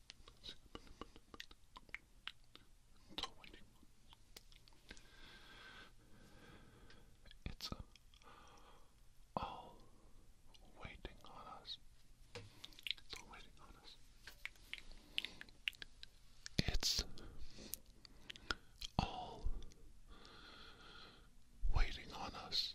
It's a winning It's all waiting on us. It's all waiting on us. It's all waiting on us.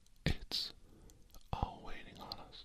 It's all waiting on us.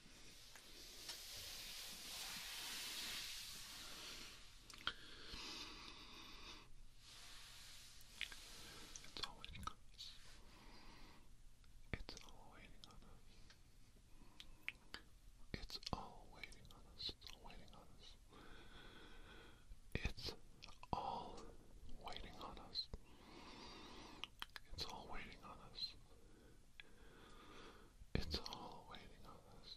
It's all waiting on us. It's all waiting on us. It's all waiting on us. It's all waiting on us. It's all waiting on us. It's all waiting on us. It's all waiting on us.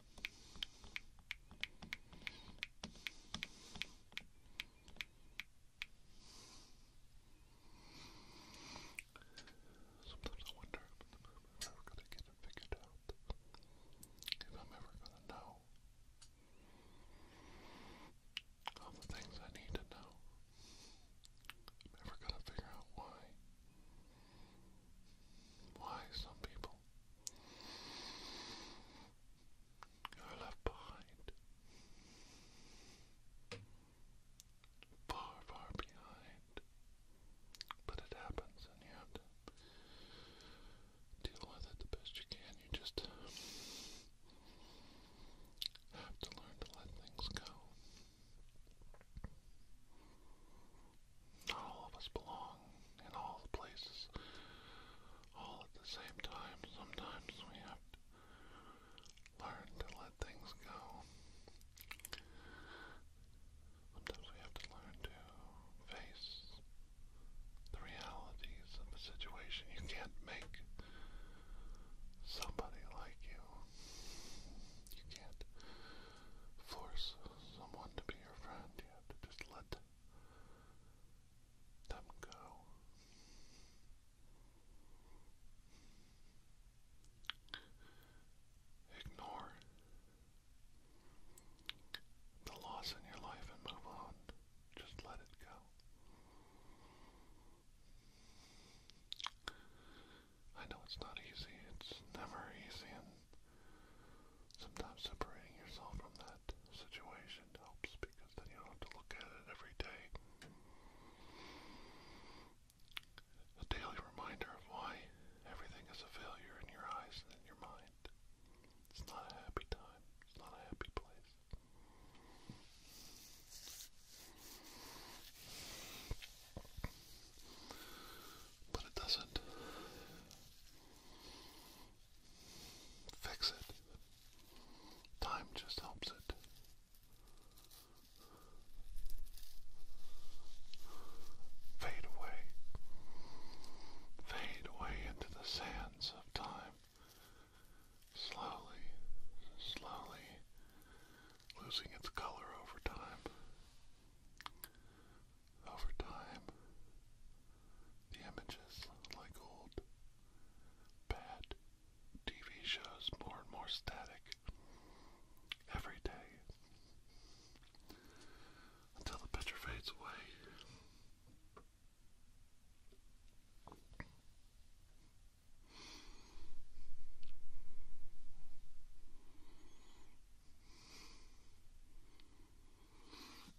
Sometimes I wonder if I'm ever gonna get figured out. If I'm ever gonna know all the things I need to know. I'm never gonna figure out why. Why some people you are left behind. Far, far behind. But it happens, and you have to deal with it the best you can. You just have to learn to let things go. Not all of us belong in all the places, all at the same time. Sometimes we have to learn to let things go. Sometimes we have to learn to face the realities of the situation. You can't make somebody like you. You can't force someone to be your friend. You have to just let let go. Ignore the loss in your life and move on. Just let it go. I know it's not easy, it's never easy, Sometimes separating yourself from that situation helps because then you don't have to look at it every day. A daily reminder of why everything is a failure in your eyes and in your mind. It's not a happy time, it's not a happy place. But it doesn't fix it. Time just helps it. Fade away. Fade away into the sands of time. Slowly, slowly losing its color over time. Over time, the images, like old, bad TV shows, more and more static every day until the picture fades away.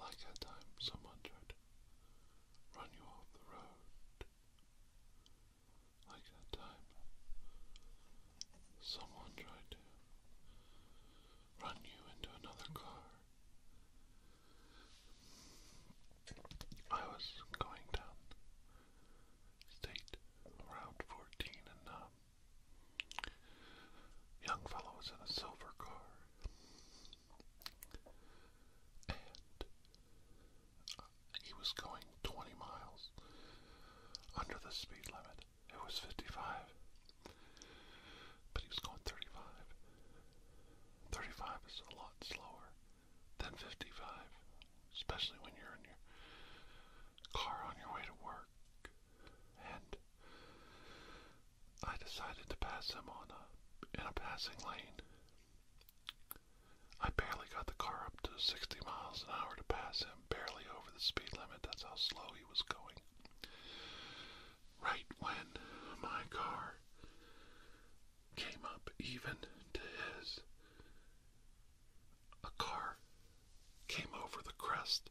Like that time someone tried to run you off the road. Like that time someone tried to run you into another car. I was going down State around 14 and um, young fellow was in a silver car and uh, he was going 20 miles under the speed limit it was 55 but he was going 35 35 is a lot slower 55, especially when you're in your car on your way to work. And I decided to pass him on a, in a passing lane. I barely got the car up to 60 miles an hour to pass him, barely over the speed limit. That's how slow he was going. Right when my car came up even to his, a car came over the crest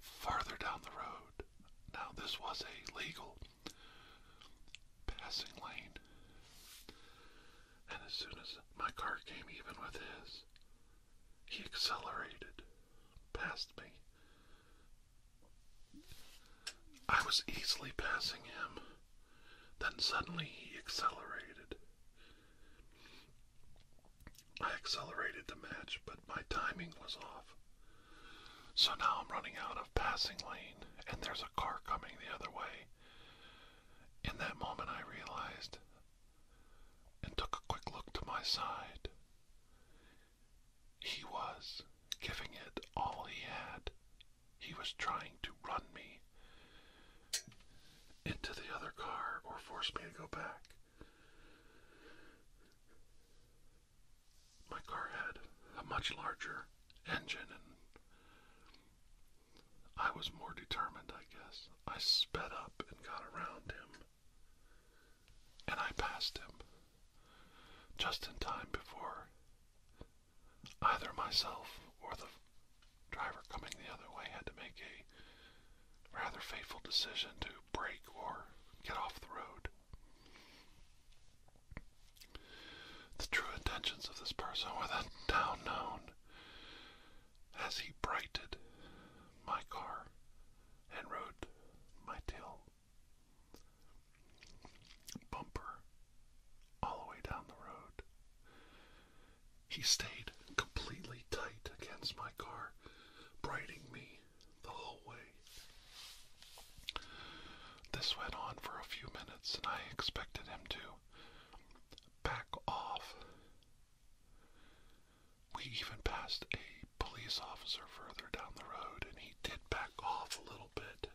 farther down the road. Now, this was a legal passing lane. And as soon as my car came even with his, he accelerated past me. I was easily passing him then suddenly he accelerated. I accelerated the match, but my timing was off. So now I'm running out of passing lane, and there's a car coming the other way. In that moment, I realized and took a quick look to my side. He was giving it all he had he was trying to run me into the other car or force me to go back. My car had a much larger engine, and I was more determined, I guess. I sped up and got around him, and I passed him just in time before either myself or the driver coming the other way had to make a rather fateful decision to brake or get off the road. The true intentions of this person were then now known as he brighted my car and rode my tail bumper all the way down the road. He stayed completely tight against my car, brighting me the whole way. This went on for a few minutes, and I expected him to back off. We even passed a police officer further down the road, and he did back off a little bit.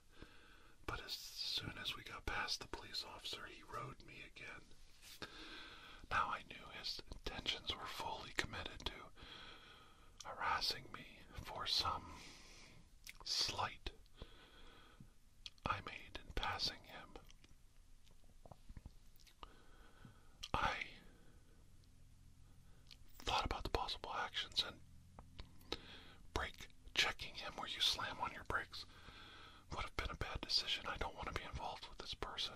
But as soon as we got past the police officer, he rode me again. Now I knew his intentions were fully committed to harassing me for some slight I made in passing him. I thought about the possible actions and Brake checking him where you slam on your brakes would have been a bad decision. I don't want to be involved with this person,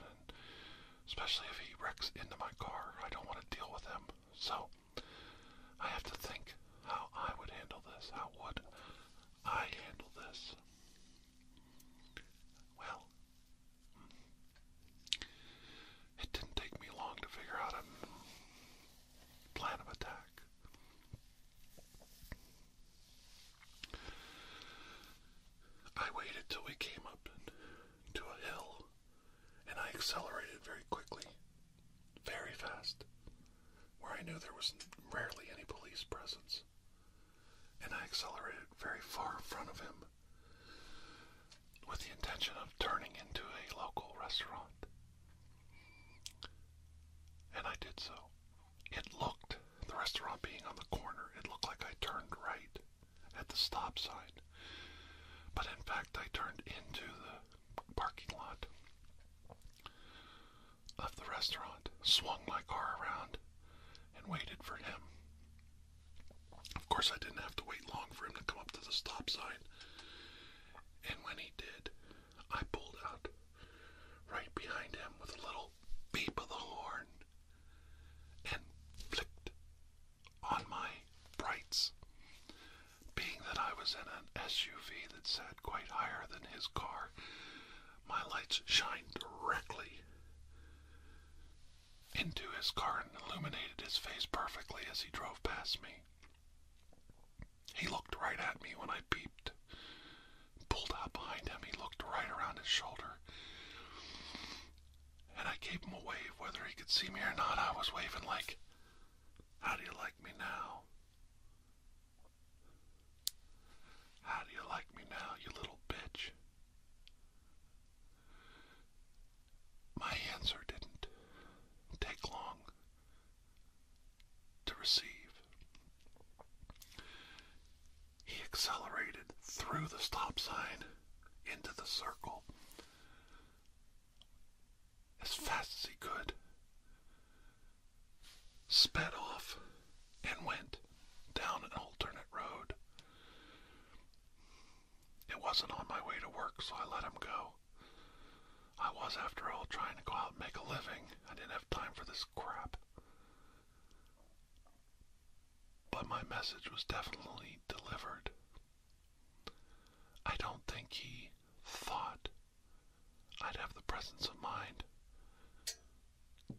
especially if he wrecks into my car. I don't want to deal with him. So I have to think how I would handle this. How would I handle this? Well, it didn't take me long to figure out a plan of attack. I waited till we came up to a hill and I accelerated very quickly, very fast, where I knew there was rarely any police presence. And I accelerated very far in front of him with the intention of turning into a local restaurant. And I did so. It looked, the restaurant being on the corner, it looked like I turned right at the stop sign. But in fact, I turned into the parking lot of the restaurant, swung my car around, and waited for him. Of course, I didn't have to wait long for him to come up to the stop sign. And when he did, I pulled out right behind him with a little beep of the horn and flicked on my brights. Being that I was in an SUV that sat quite higher than his car, my lights shined directly into his car and illuminated his face perfectly as he drove past me. He looked right at me when I peeped. Pulled out behind him, he looked right around his shoulder. And I gave him a wave, whether he could see me or not. I was waving like, How do you like me now? How do you like me now, you little bitch? My answer didn't take long to receive. He accelerated through the stop sign into the circle as fast as he could, sped off, and went down an alternate road. It wasn't on my way to work, so I let him go. I was, after all, trying to go out and make a living. I didn't have time for this crap. But my message was definitely delivered. I don't think he thought I'd have the presence of mind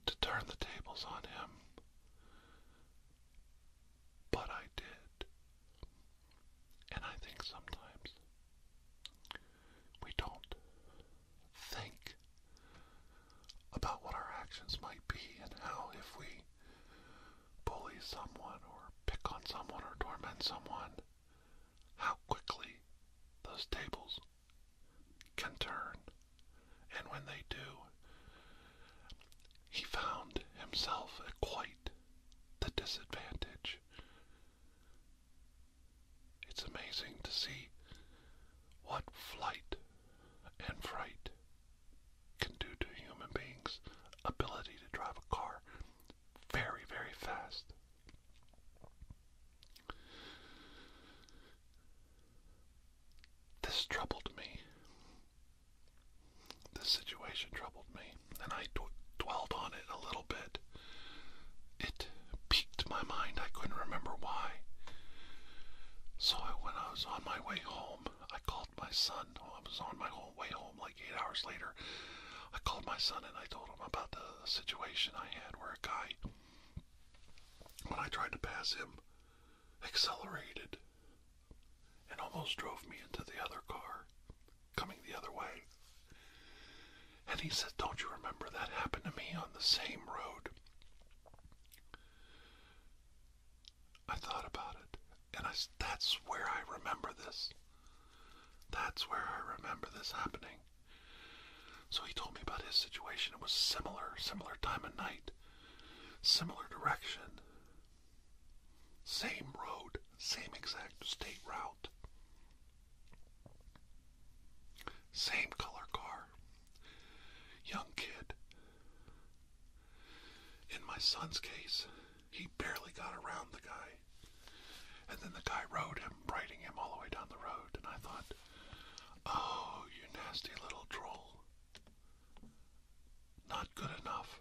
to turn the tables on him. But I did. And I think sometimes we don't think about what our actions might be and how if we bully someone or pick on someone or torment someone, how quickly those tables can turn. And when they do, he found himself at quite the disadvantage it's amazing to see what flight and fright can do to a human beings' ability to drive a car very, very fast. This troubled me. This situation troubled me and I dwelled on it a little bit. It piqued my mind. I couldn't remember why. So I, when I was on my way home, I called my son. I was on my way home like eight hours later. I called my son and I told him about the situation I had where a guy, when I tried to pass him, accelerated and almost drove me into the other car coming the other way. And he said, Don't you remember that happened to me on the same road? I thought about it, and I, that's where I remember this. That's where I remember this happening. So he told me about his situation. It was similar, similar time and night, similar direction, same road, same exact state route. Same color car. Young kid. In my son's case, he barely got around the guy. And then the guy rode him, riding him all the way down the road. And I thought, oh, you nasty little troll. Not good enough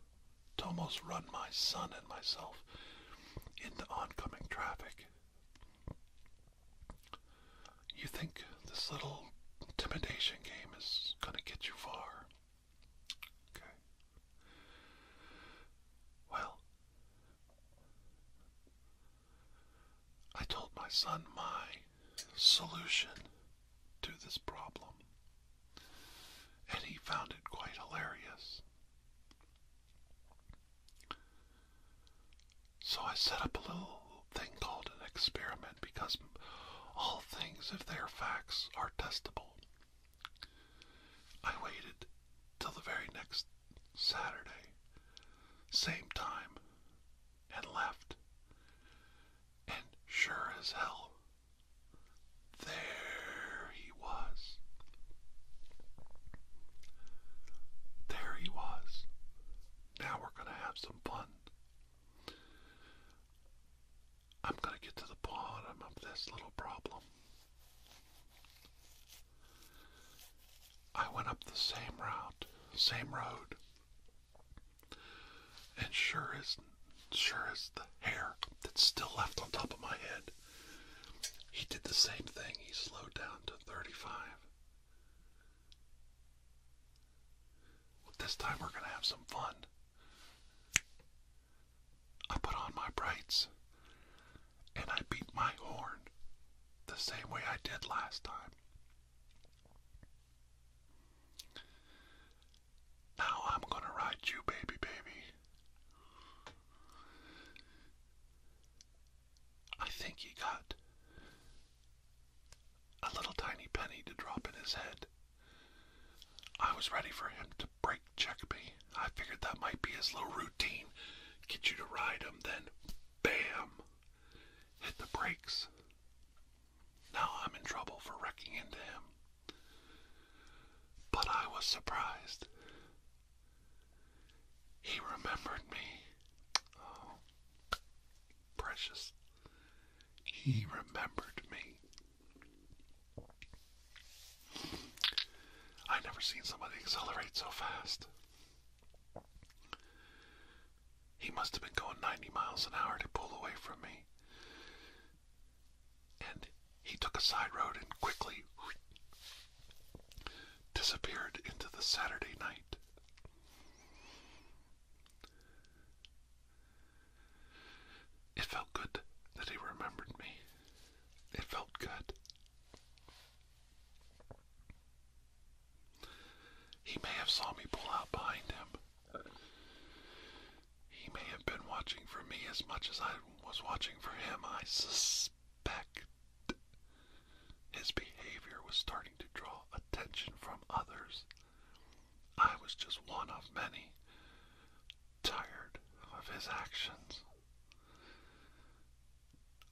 to almost run my son and myself into oncoming traffic. You think this little intimidation game is going to get you far. Okay. Well, I told my son my solution to this problem, and he found it quite hilarious. So I set up a little thing called an experiment because all things, if they're facts, are testable. I waited till the very next Saturday, same time, and left. And sure as hell, there he was. There he was. Now we're going to have some fun. I'm going to get to the bottom of this little problem. I went up the same route, same road, and sure as sure as the hair that's still left on top of my head, he did the same thing. He slowed down to 35. this time we're going to have some fun. I put on my brights and I beat my horn the same way I did last time. Now I'm going to ride you, baby, baby. I think he got a little tiny penny to drop in his head. I was ready for him to brake check me. I figured that might be his little routine. Get you to ride him, then bam! Hit the brakes. Now I'm in trouble for wrecking into him. But I was surprised. He remembered me. Oh, precious. He remembered me. i never seen somebody accelerate so fast. He must have been going 90 miles an hour to pull away from me and he took a side road and quickly disappeared into the Saturday night. It felt good that he remembered me. It felt good. He may have saw me pull out behind him. He may have been watching for me as much as I was watching for him. I sus respect. His behavior was starting to draw attention from others. I was just one of many, tired of his actions.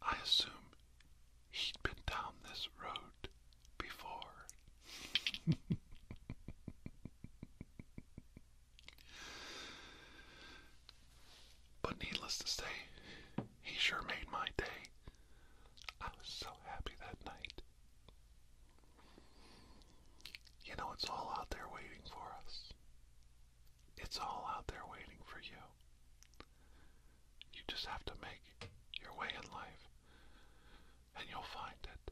I assume he'd been down this road before. But needless to say, he sure made my day. I was so happy that night. You know, it's all out there waiting for us. It's all out there waiting for you. You just have to make your way in life, and you'll find it.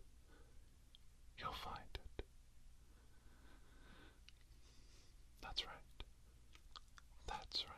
You'll find it. That's right. That's right.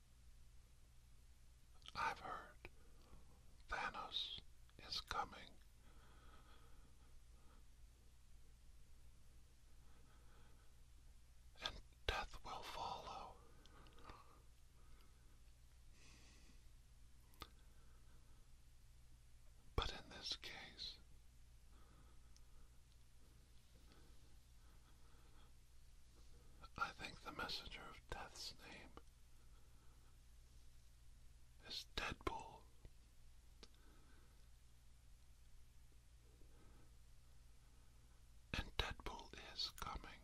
I've heard Thanos is coming. And death will follow. But in this case, I think the messenger of death's name is Deadpool. And Deadpool is coming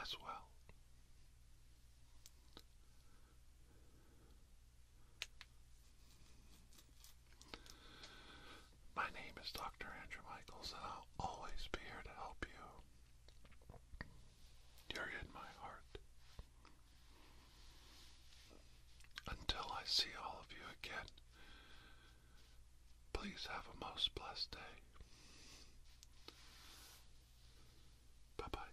as well. My name is Dr. Andrew Michaels, and I'll always be here to help you. You're in my heart. Until I see all of you again, please have a most blessed day. Bye bye.